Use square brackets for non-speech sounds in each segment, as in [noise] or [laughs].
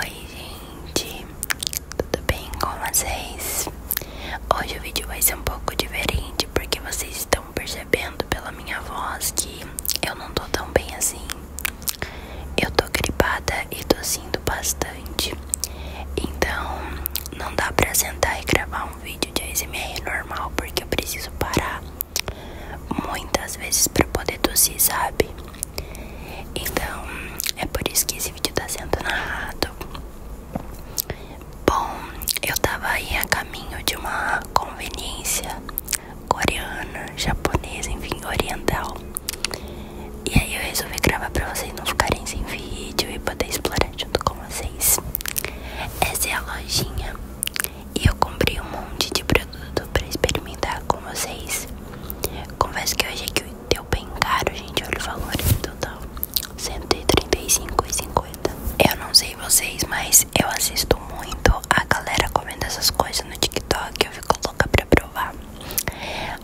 Oi gente, tudo bem com vocês? Hoje o vídeo vai ser um pouco diferente porque vocês estão percebendo pela minha voz que eu não tô tão bem assim. Eu tô gripada e tossindo bastante, então não dá pra sentar e gravar um vídeo de ASMR normal porque eu preciso parar muitas vezes para poder tossir, sabe? Então, é por isso que esse vídeo está sendo narrado. Bom, eu estava aí a caminho de uma conveniência coreana, japonesa, enfim, oriental. E aí eu resolvi gravar para vocês não ficarem sem vídeo e poder explorar junto com vocês. Essa é a lojinha. E eu comprei um monte de produto pra experimentar com vocês. Confesso que hoje aqui é deu bem caro, gente. Olha o valor em total: R$135,50. Eu não sei vocês, mas eu assisto muito a galera comendo essas coisas no TikTok. Eu fico louca pra provar.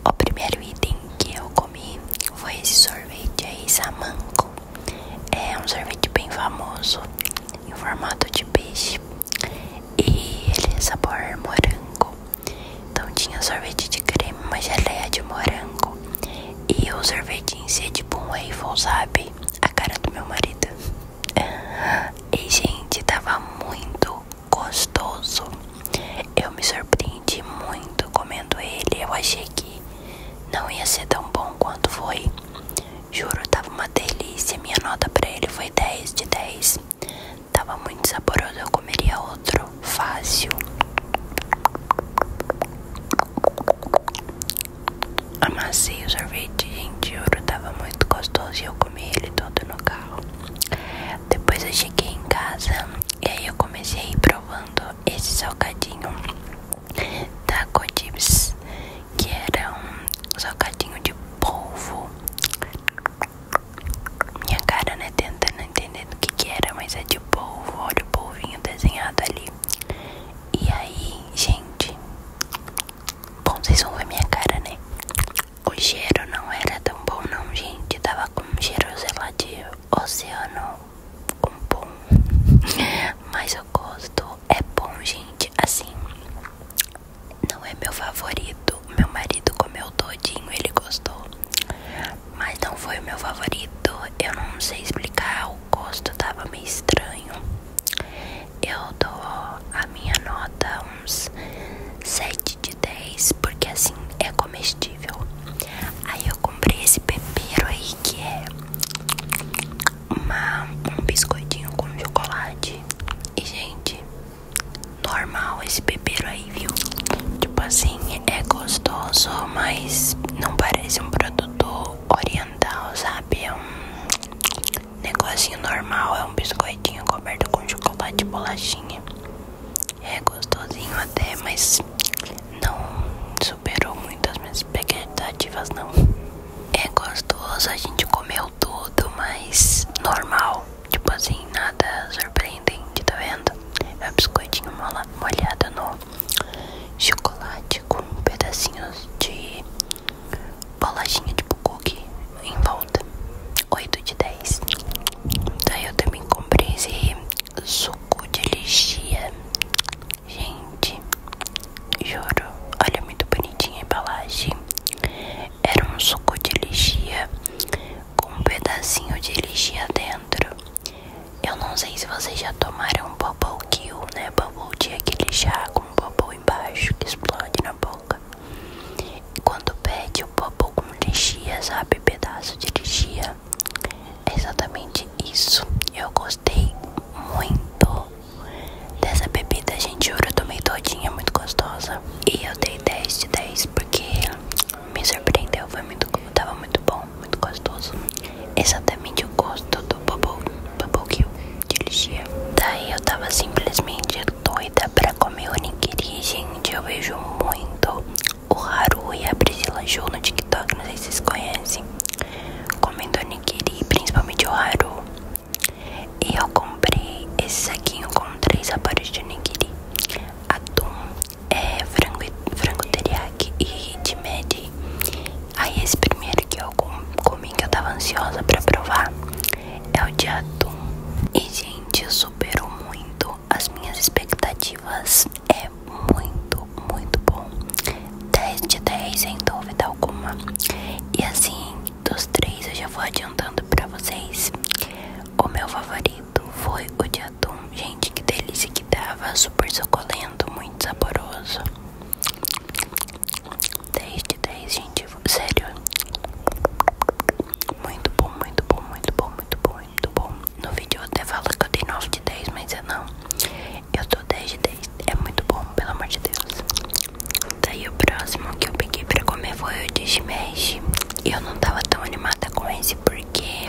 O primeiro item que eu comi foi esse sorvete aí, Samanco. É um sorvete bem famoso em formato de peixe e ele é sabor morango. Então tinha sorvete de creme, uma geleia de morango e o sorvete em si é tipo um waffle, A cara do meu marido. [laughs] E gente, tava muito gostoso. Eu me surpreendi muito comendo ele. Eu achei que não ia ser tão bom quanto foi. Juro, tava uma delícia. Minha nota pra ele foi 10 de 10. Tava muito saboroso, eu comeria outro. Fácil. Amassei o sorvete, gente. Juro, tava muito gostoso e eu comi ele todo no carro. Depois eu cheguei em casa e aí eu comecei provando esse salgadinho. Taco Chips, que era um socadinho de polvo. Minha cara, né, tentando entender do que que era, mas é de polvo, olha o polvinho desenhado ali. E aí, gente, bom, vocês vão ver minha cara, né? O cheiro não era tão bom não, gente, tava com um cheiro, sei lá, de oceano, Com bom, [laughs] mas eu gosto, é bom, gente. Assim, não é meu favorito. Meu marido comeu todinho, ele gostou. Mas não foi o meu favorito. Eu não sei explicar. O gosto tava meio estranho. Eu dou a minha nota uns 7 de 10, porque assim é comestível. Aí eu comprei esse pepero aí que é um biscoitinho com chocolate. E, gente, normal esse bebeiro aí, viu? Tipo assim, é gostoso, mas não parece um produto oriental, sabe? É um negocinho normal, é um biscoitinho coberto com chocolate e bolachinha. É gostosinho até, mas não superou muito as minhas expectativas, não. É gostoso, a gente comeu tudo, mas normal. Tipo assim, nada surpreendente, tá vendo? É um biscoitinho molhado no chocolate com pedacinhos de bolachinha tipo cookie em volta. 8 de 10. Daí eu também comprei esse suco de lixia Gente, juro, olha muito bonitinha a embalagem. Era um suco de lichia com um pedacinho de lichia dentro. Eu não sei se vocês já tomaram bubble kill, né? Bubble tea, é aquele chá com bubble embaixo que explode na boca. Quando pede o bubble com lichia, sabe? Pedaço de lichia exatamente isso. Eu gostei muito dessa bebida, gente. Juro, eu tomei todinha, é muito gostosa. E eu dei 10 de 10 porque me surpreendeu. Foi muito, tava muito bom, muito gostoso. Exatamente o gosto do bubble, bubble que eu dirigia. Daí eu tava simplesmente doida para comer o onigiri, gente. Eu vejo muito o Haru e a Priscila Ju no TikTok, não sei se vocês conhecem. Comentou Nikiri, principalmente o Haru. E eu comprei esse saquinho com três sabores de Nikiri: atum, é, frango, frango teriyaki e chimedi. Aí esse primeiro que eu comi, que eu tava ansiosa pra provar, é o de atum. E gente, superou muito as minhas expectativas é muito, muito bom. 10 de 10, sem dúvida alguma. E assim, dos três eu já vou adiantando para vocês. O meu favorito foi o de atum. Gente, que delícia que tava. Super suculento, muito saboroso. 10 de 10, gente. Sério. Muito bom, muito bom, muito bom, muito bom muito bom. No vídeo eu até falo que eu dei 9 de 10, mas eu não. Eu tô 10 de 10. É muito bom, pelo amor de Deus. Daí o próximo que eu peguei pra comer foi o de e Eu não tava tão animada com esse porque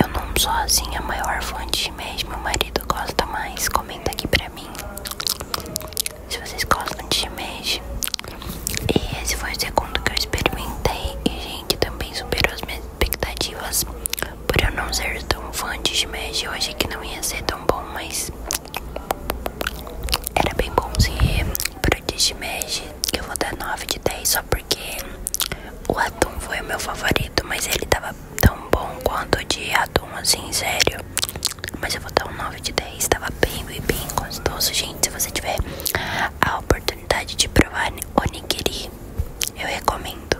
eu não sou assim a maior fã de shimeji. Meu marido gosta mais. Comenta aqui pra mim se vocês gostam de shimeji. E esse foi o segundo que eu experimentei. E, gente, também superou as minhas expectativas por eu não ser tão fã de Smash. Eu achei que não ia ser tão bom, mas era bem bom se pro de que Eu vou dar 9 de 10 só porque o Atum foi o meu favorito, mas ele tava tão bom quanto o de Atum, assim, sério. Mas eu vou dar um 9 de 10, tava bem, bem, bem gostoso, gente. Se você tiver a oportunidade oportunidade de provar onigiri, eu recomendo.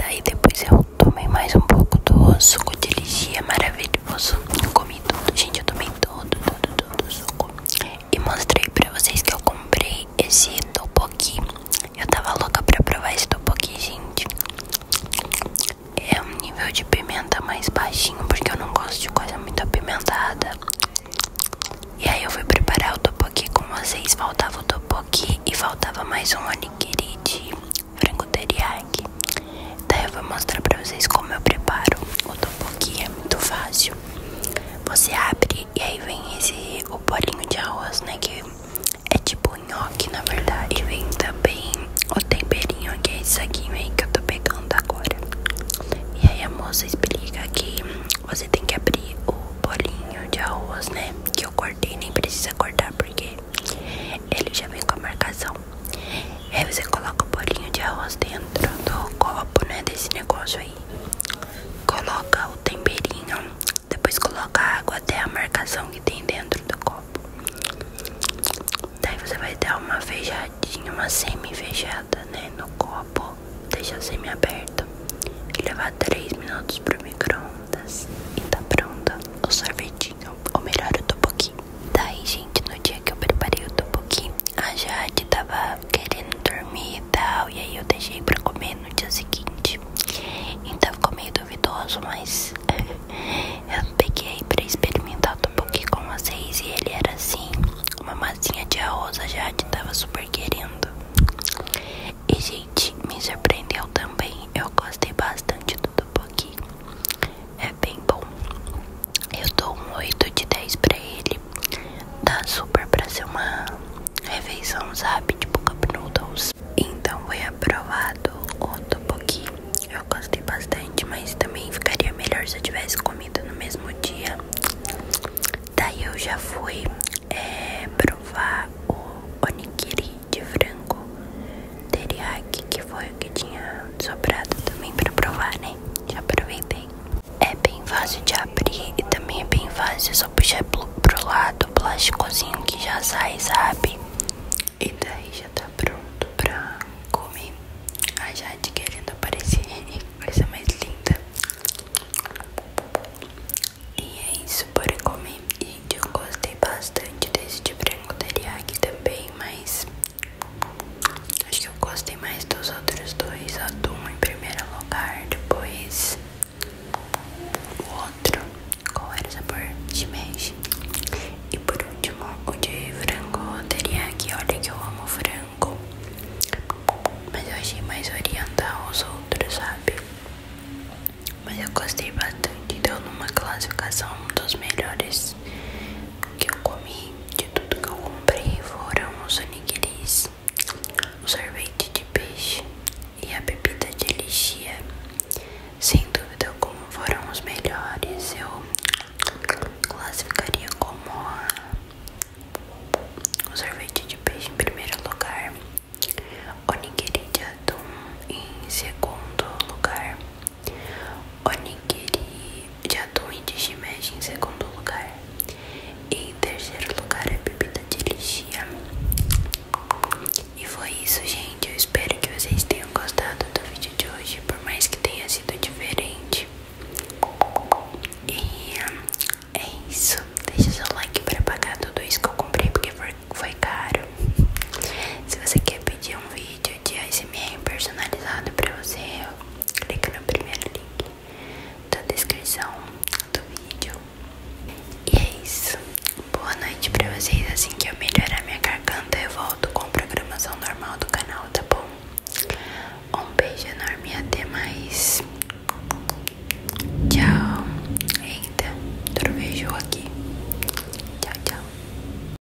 Daí depois eu tomei mais um pouco do suco de ligia maravilhoso. Eu comi tudo, gente, eu tomei tudo tudo tudo o suco. E mostrei pra vocês que eu comprei esse topoki. Eu tava louca pra provar esse topoki, gente. É um nível de pimenta mais baixinho, porque eu não gosto de coisa muito apimentada. E aí eu fui preparar o topoki com vocês. Faltava o topoki e faltava mais um onigiri de frango teriyaki. Daí eu vou mostrar pra vocês como eu preparo o topoki. É muito fácil. Você abre e aí vem esse o bolinho de arroz, né? Que é tipo nhoque, na verdade. E vem também o temperinho, que é isso aqui aí que eu tô pegando agora. E aí a moça explica que você tem que abrir o bolinho de arroz, né? Que eu cortei, nem precisa cortar porque ele já vem com a marcação. E aí você coloca o bolinho de arroz dentro do copo, né? Desse negócio aí. Coloca o temperinho, depois coloca a água até a marcação que tem dentro do copo. Daí você vai dar uma feijadinha, uma semi feijada né? No copo, deixa semi-aberto e levar 3 minutos pro micro-ondas e tá pronto o sorvetinho, ou melhor, o topoqui. Daí, gente, no dia que eu preparei o topoqui, a Jade tava querendo dormir e tal, e aí eu deixei para comer no dia seguinte. Então ficou meio duvidoso, mas [laughs] eu peguei para experimentar o topoqui com vocês e ele era assim uma massinha de rosa já Jade tava super querendo. E gente, me surpreendeu também. Eu gostei bastante do tuboqui. É bem bom. Eu dou um 8 de 10 pra ele. Dá super pra ser uma refeição, sabe? Tipo cup noodles. Então foi aprovado o tuboqui. Eu gostei bastante, mas também ficaria melhor se eu tivesse comido no mesmo dia. Daí eu já fui é, provar o onigiri de frango teriyaki, que foi o que tinha sobrado também pra provar, né? Já aproveitei. É bem fácil de abrir e também é bem fácil, só puxar pro, lado o plásticozinho que já sai, sabe? E daí já já tá pronto pra comer. A Jade querendo aparecer, coisa mais linda. E é isso, bora comer. Gente, eu gostei bastante desse de branco teriyaki também, mas acho que eu gostei mais dos outros dois. Atum em primeiro lugar, depois o outro. Qual era o sabor? Shimeji. E por último, o de frango eu teria aqui, olha que eu amo frango Mas eu achei mais oriental os outros, sabe? Mas eu gostei bastante, deu numa classificação um dos melhores que eu comi De tudo que eu comprei foram os aniquilis o sorvete de peixe e a bebida de lixia sem dúvida, como foram os melhores, eu classificaria como o sorvete de peixe em primeiro lugar, o nigiri de atum em segundo lugar, o nigiri de atum e de shimeji em segundo lugar, em terceiro lugar a bebida de lixia. E foi isso, gente eu espero que vocês tenham gostado do vídeo de hoje, por mais que tenha sido diferente. E é isso. Deixa seu like para pagar tudo isso que eu comprei, porque foi caro. Se você quer pedir um vídeo de ASMR personalizado para você, clica no primeiro link da descrição do vídeo. E é isso. Tipo, boa noite pra vocês. Assim que eu melhorar minha garganta, eu volto com a programação normal do canal, tá bom? Um beijo enorme e até mais. Tchau. Eita, trovejou aqui. Tchau, tchau.